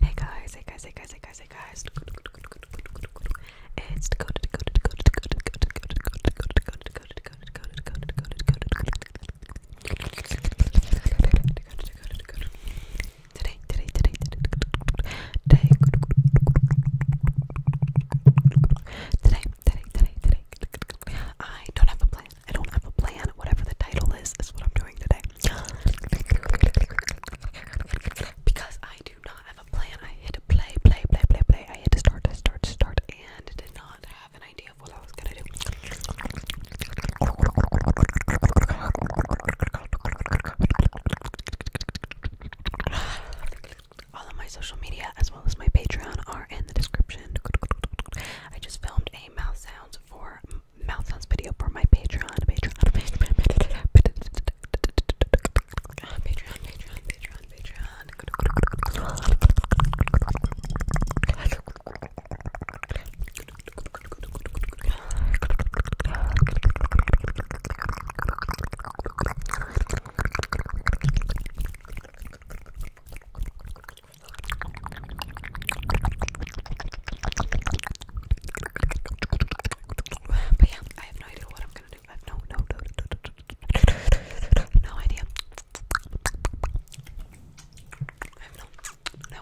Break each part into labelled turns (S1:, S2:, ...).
S1: Hey guys, hey guys, hey guys, hey guys, hey guys. It's today, today, today, today, today, today, today, today. I don't have a plan. I don't have a plan. Whatever the title is, is what I'm doing today. Because I do not have a plan. I hit play, play, play, play, play. I hit start, start, start, and did not have an idea of what I was gonna do. All my social media as well as my Patreon are in the description. I just filmed a mouth sounds for mouth sounds video for my Patreon, Patreon, Patreon, Patreon, Patreon, Patreon, Patreon, Patreon. But yeah, I have no idea what I'm gonna do. no, no, no, no, idea. no, no, no idea. No idea. No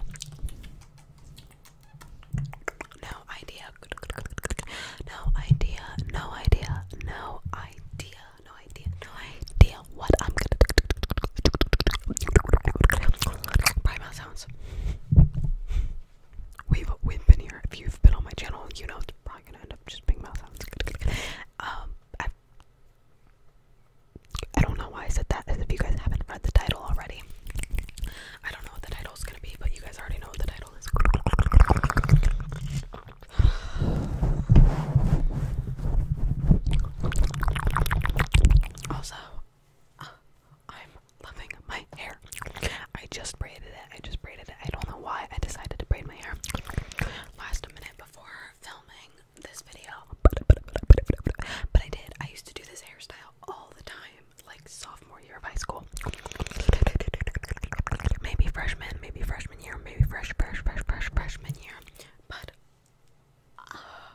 S1: idea. No idea. No idea. No idea what I'm gonna do mouth sounds. We've we've been here. If you've been on my channel, you know it's probably gonna end up just being mouth sounds. um, I, don't know why I said that. As if you guys haven't read the title already, I don't know what the title's gonna be, but you guys already know what the title is. Also, uh, I'm loving my hair. I just braided it. I just braided it. I don't know why I decided to braid my hair last minute before filming this video. But I did. I used to do this hairstyle all the time, like sophomore year of high school. Maybe freshman, maybe freshman year, maybe fresh, fresh, fresh, freshman year. But uh,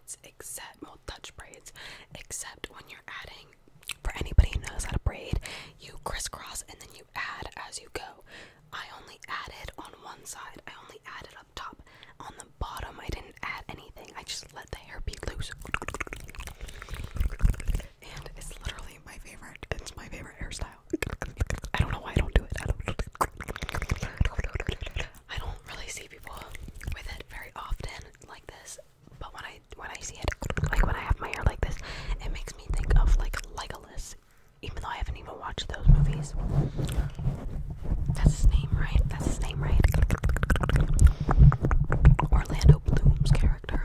S1: except well touch braids except when you're adding for anybody who knows how to braid you crisscross and then you add as you go i only added on one side i only added up top on the bottom i didn't add anything i just let the hair be loose and it's literally my favorite it's my favorite hairstyle i don't know why i don't do it I don't really see people with it very often like this, but when I when I see it, like when I have my hair like this, it makes me think of like Legolas, even though I haven't even watched those movies. That's his name, right? That's his name, right? Orlando Bloom's character.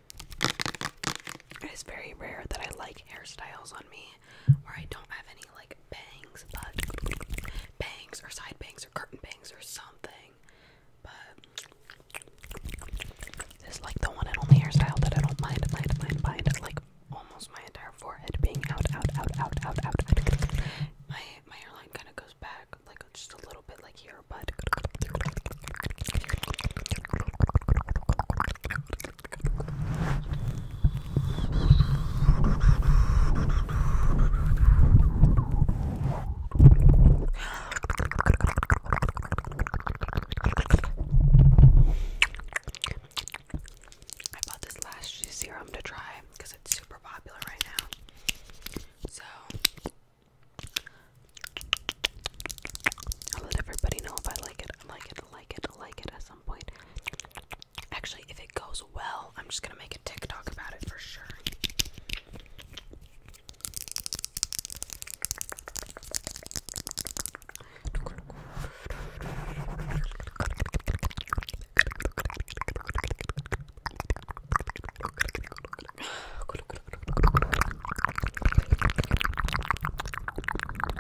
S1: It is very rare that I like hairstyles on me where I don't have any like bangs, but bangs or side bangs or curtain bangs or something. But this is like the one and only hairstyle that I don't mind, mind, mind, mind. Like almost my entire forehead being out, out, out, out, out, out. My my hairline kind of goes back, like just a little bit, like here, but. I bought this lash serum to try because it's super popular right now. So I'll let everybody know if I like it. I like it. I like it, like it at some point. Actually, if it goes well, I'm just gonna make a TikTok about it for sure.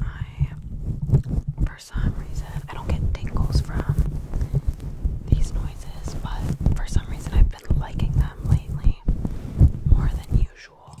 S1: I, for some reason, I don't get tingles from these noises, but for some reason, I've been liking them lately more than usual.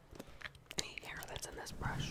S1: any hair that's in this brush.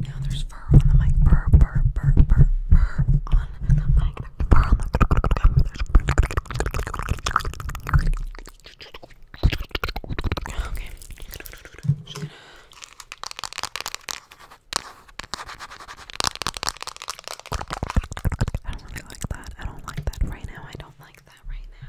S1: Now there's fur on the mic. Burr, burr, burr, burr, burr on the mic. Burr on the Okay. I don't really like that. I don't like that right now. I don't like that right now.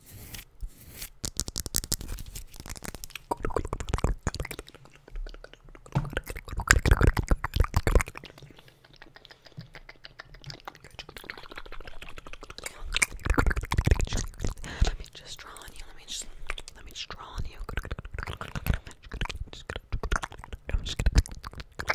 S1: Let me just draw on you. Let me just let me just draw on you. I'm just gonna draw on you.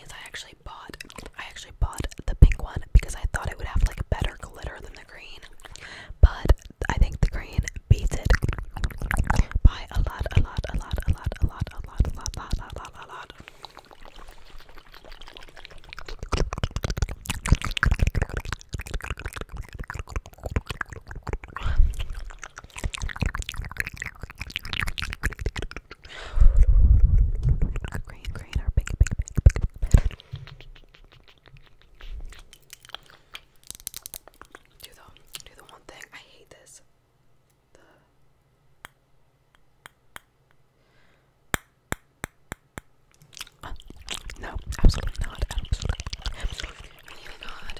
S1: I actually bought I actually bought the pink one because I thought it would have like a better glitter than the green. But I think the green beats it by a lot, a lot, a lot, a lot, a lot, a lot, a lot, a lot, a lot, a lot. I hate this. no, absolutely not. Absolutely, not,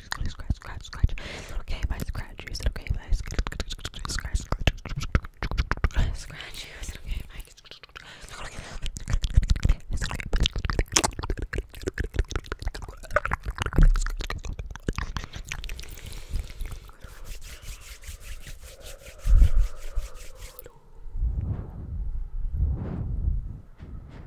S1: scratch, scratch, scratch, scratch. Is it okay if I scratch you? Is it okay if I scratch, scratch, scratch, scratch you? Is it okay if I is it okay if I